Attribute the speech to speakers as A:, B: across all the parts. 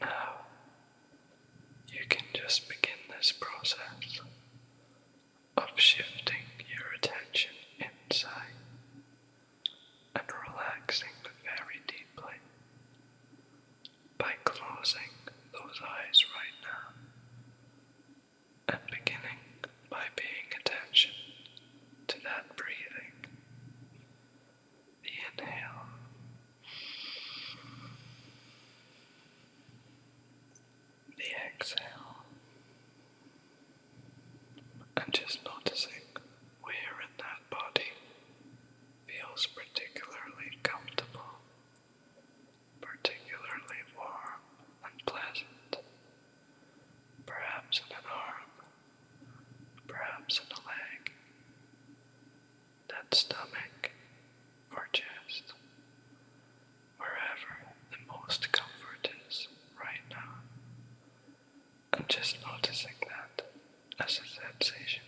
A: Now, you can just begin this process of shifting your attention inside and relaxing very deeply by closing those eyes right now and beginning by paying attention to that breathing Inhale. The exhale. And just noticing where in that body feels particularly comfortable, particularly warm and pleasant. Perhaps in an arm perhaps in the leg, that stomach or chest, wherever the most comfort is right now. I'm just noticing that as a sensation.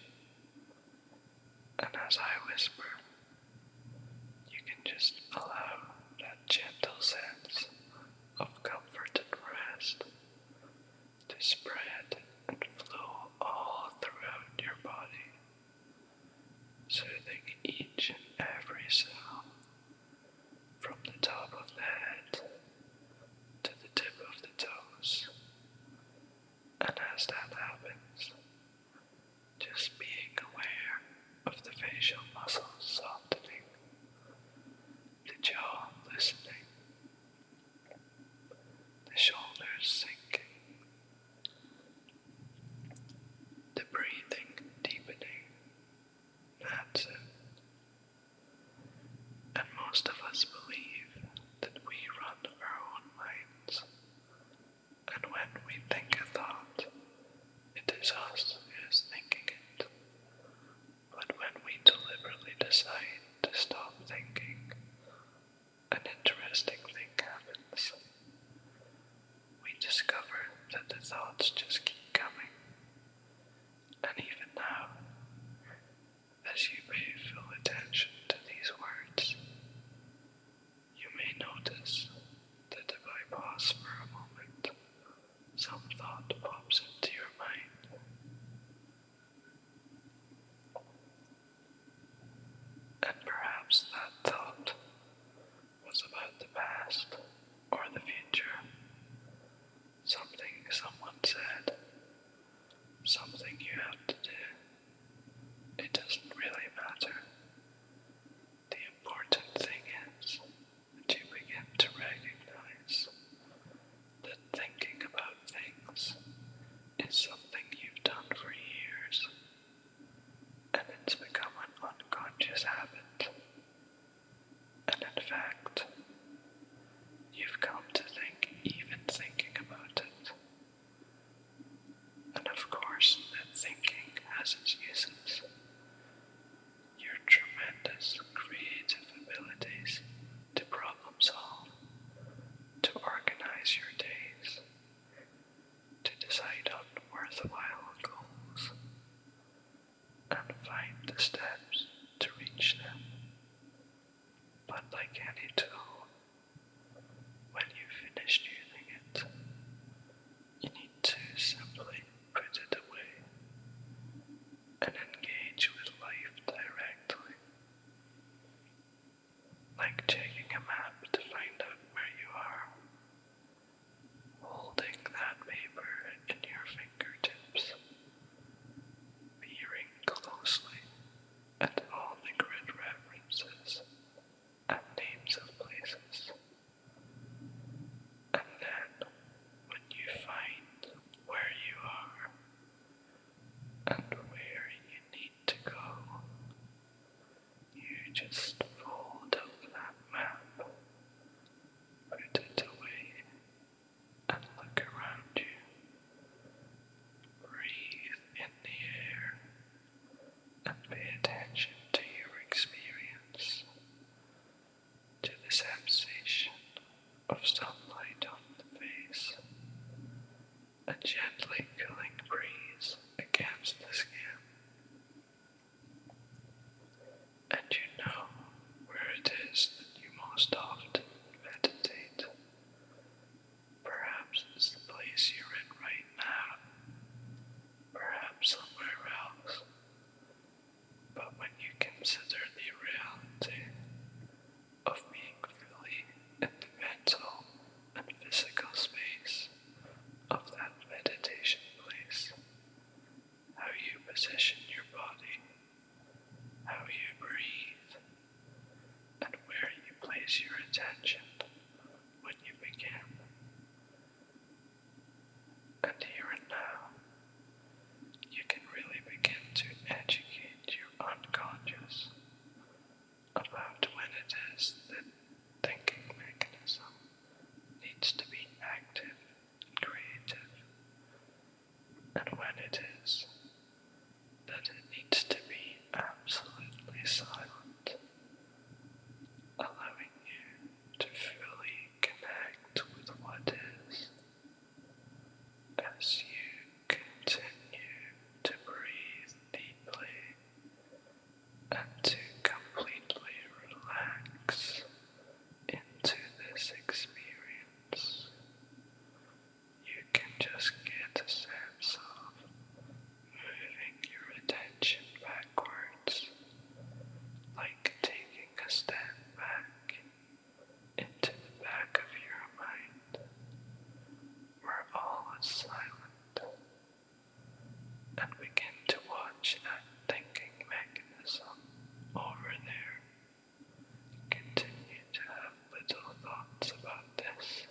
A: And as I whisper, you can just allow that gentle sense of comfort and rest to spread and flow all throughout your body, soothing each and every cell from the top of the head to the tip of the toes. And as that happens, just being aware of the facial muscles softening, the jaw loosening the shoulders sinking, the breathing deepening. And most of us believe that we run our own minds, and when we think a thought, it is us who is thinking it, but when we deliberately decide to stop thinking, an interesting thing happens. We discover that the thoughts just keep coming. And even now, as you pay full attention to these words, you may notice that if I pause for a moment, some thought pops into your mind. And perhaps that thought was about the past or the future. Something someone said. Something you have to do. It doesn't really matter. The important thing is that you begin to recognize that thinking about things is something you've done for years, and it's become an unconscious habit. And in fact, you've come to think even thinking about it. And of course, that thinking has its uses your tremendous creative abilities to problem solve, to organize your days, to decide on worthwhile goals, and find the steps to reach them. But like any tool, when you finish using it, you need to simply put it away and engage with life directly. Like checking a map to find out where you are. Holding that paper in your fingertips. Peering closely at all the grid references and names of places. And then, when you find where you are and where you need to go, you just fold up that map, put it away, and look around you. Breathe in the air and pay attention to your experience to the sensation of sunlight on the face, a gently cooling breeze against the skin, and you know where it is that you most often meditate. Perhaps it's the place you're in right now, perhaps somewhere else. But when you consider the reality of being fully in the mental and physical space of that meditation place, how you position your body, how you breathe, and where you place your attention when you begin and here and now, you can really begin to educate your unconscious about when it is that thinking mechanism needs to be active and creative, and when it is that it needs to be absolutely silent, allowing you to fully connect with what is as you continue to breathe deeply and to completely relax into this experience. You can just get a sense of moving your attention backwards, like taking a step back into the back of your mind, where all is silent, and begin to watch that thinking mechanism over there. Continue to have little thoughts about this,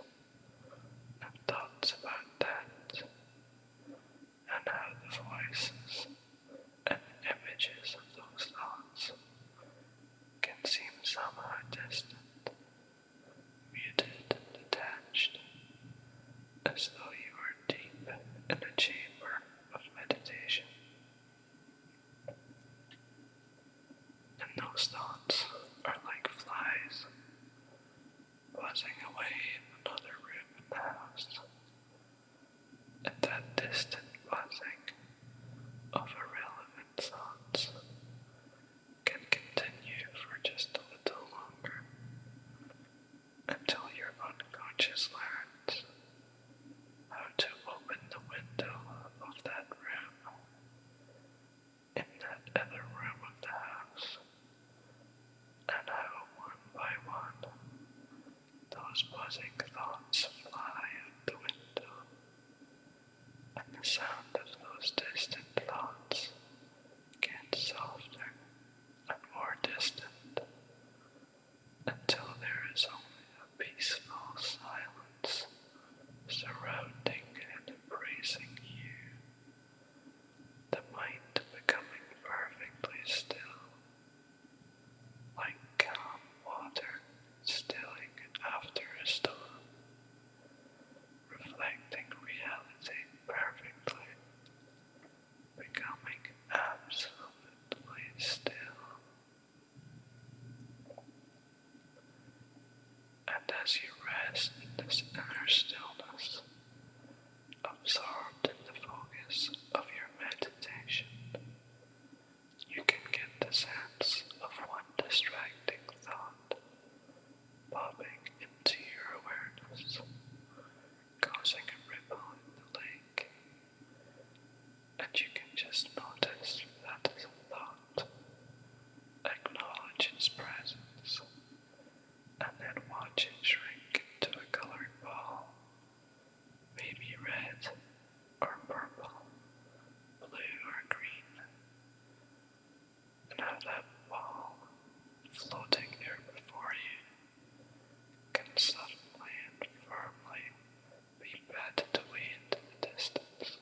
A: and thoughts about that, and how the voices and images of those thoughts can seem somehow distant, muted and detached, as though you were deep in a chamber of meditation. And those thoughts are like flies buzzing away in another room in house, and that distant buzzing of irrelevant thoughts can continue for just a little longer until your unconscious learns how to open the window of that room in that other room of the house and how one by one those buzzing thoughts fly out the window, and the sound of those distant thoughts gets softer and more distant until there is only a peaceful silence surrounding and embracing you. The mind becoming perfectly still like calm water stilling after a storm, reflecting reality perfectly, becoming absolutely still. And as you rest in this inner stillness, absorbed in the focus of your meditation, you can get the sense of one distracting thought popping into your awareness, causing a ripple in the lake, and you can just notice that thought, acknowledge its presence, and then watch it shrink into a colored ball maybe red or purple, blue or green, and that ball floating there before you can suddenly and firmly be batted away into the distance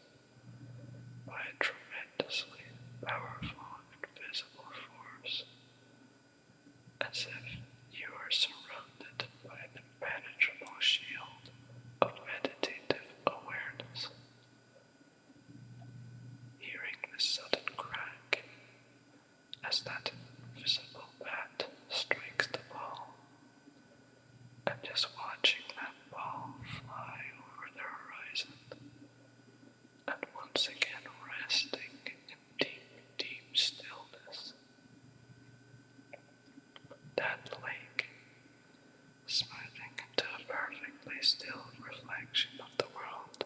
A: by a tremendously powerful invisible force as if you are surrounded by an impenetrable shield of meditative awareness. Hearing the sudden crack as that invisible bat strikes the ball, and just watching that ball fly over the horizon, and once again resting in deep, deep stillness. That lake, smoothing into a perfectly still reflection of the world,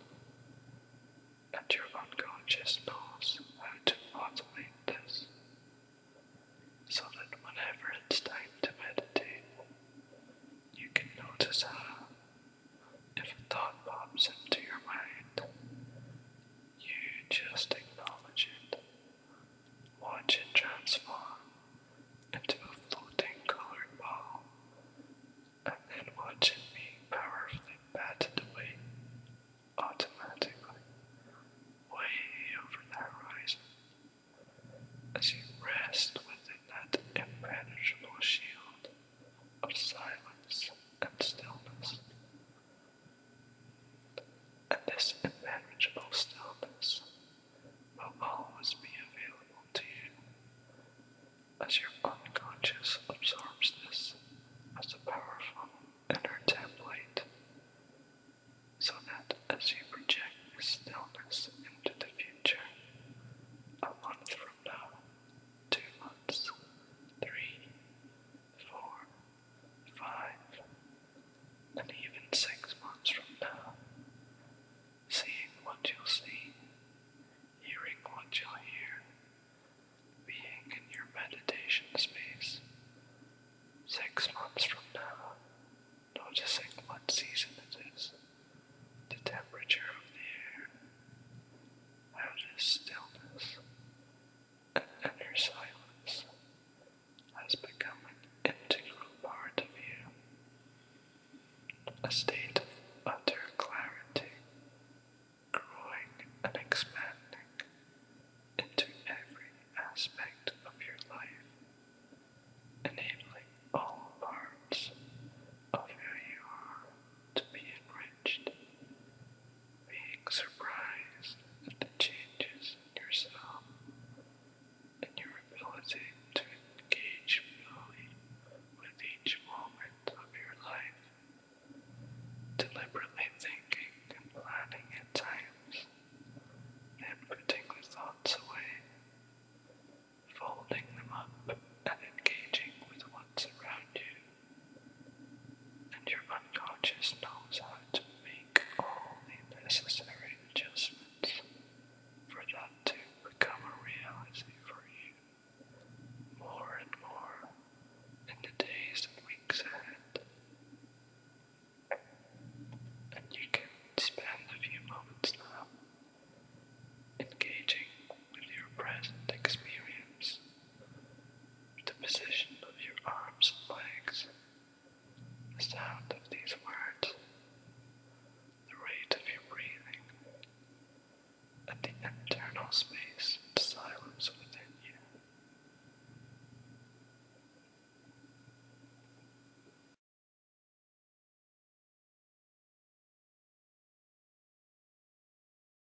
A: and your unconscious knows to modulate this, so that whenever it's time to meditate, you can notice how, if a thought pops into your mind, you just acknowledge it. Watch it transform into a floating colored ball, and then watch it be powerfully batted away automatically, way over the horizon, as you rest within that impenetrable shield of silence and stillness. And this unmanageable stillness will always be available to you as your unconscious absorbs this as a powerful inner template, so that as you project this stillness into the future, a month from now, two months, three, four, five, and even six months from now, seeing what you'll see, hearing what you'll hear, being in your meditation space, six months from now, noticing what season it is, the temperature of the air, how stillness and inner silence has become an integral part of you, a state of utter clarity, growing and expanding into every aspect of your life, enabling all parts of who you are to be enriched being surprised at the changes in yourself and your ability to engage fully with each moment of your life, deliberately thinking and planning at times, and putting the thoughts away, folding them up and engaging with what's around you and your unconscious knows how to make all the necessary adjustments for that to become a reality for you more and more in the days and weeks ahead. And you can spend a few moments now engaging with your present experience the position of your arms and legs, the sound of these words, the rate of your breathing, and the internal space and silence within you.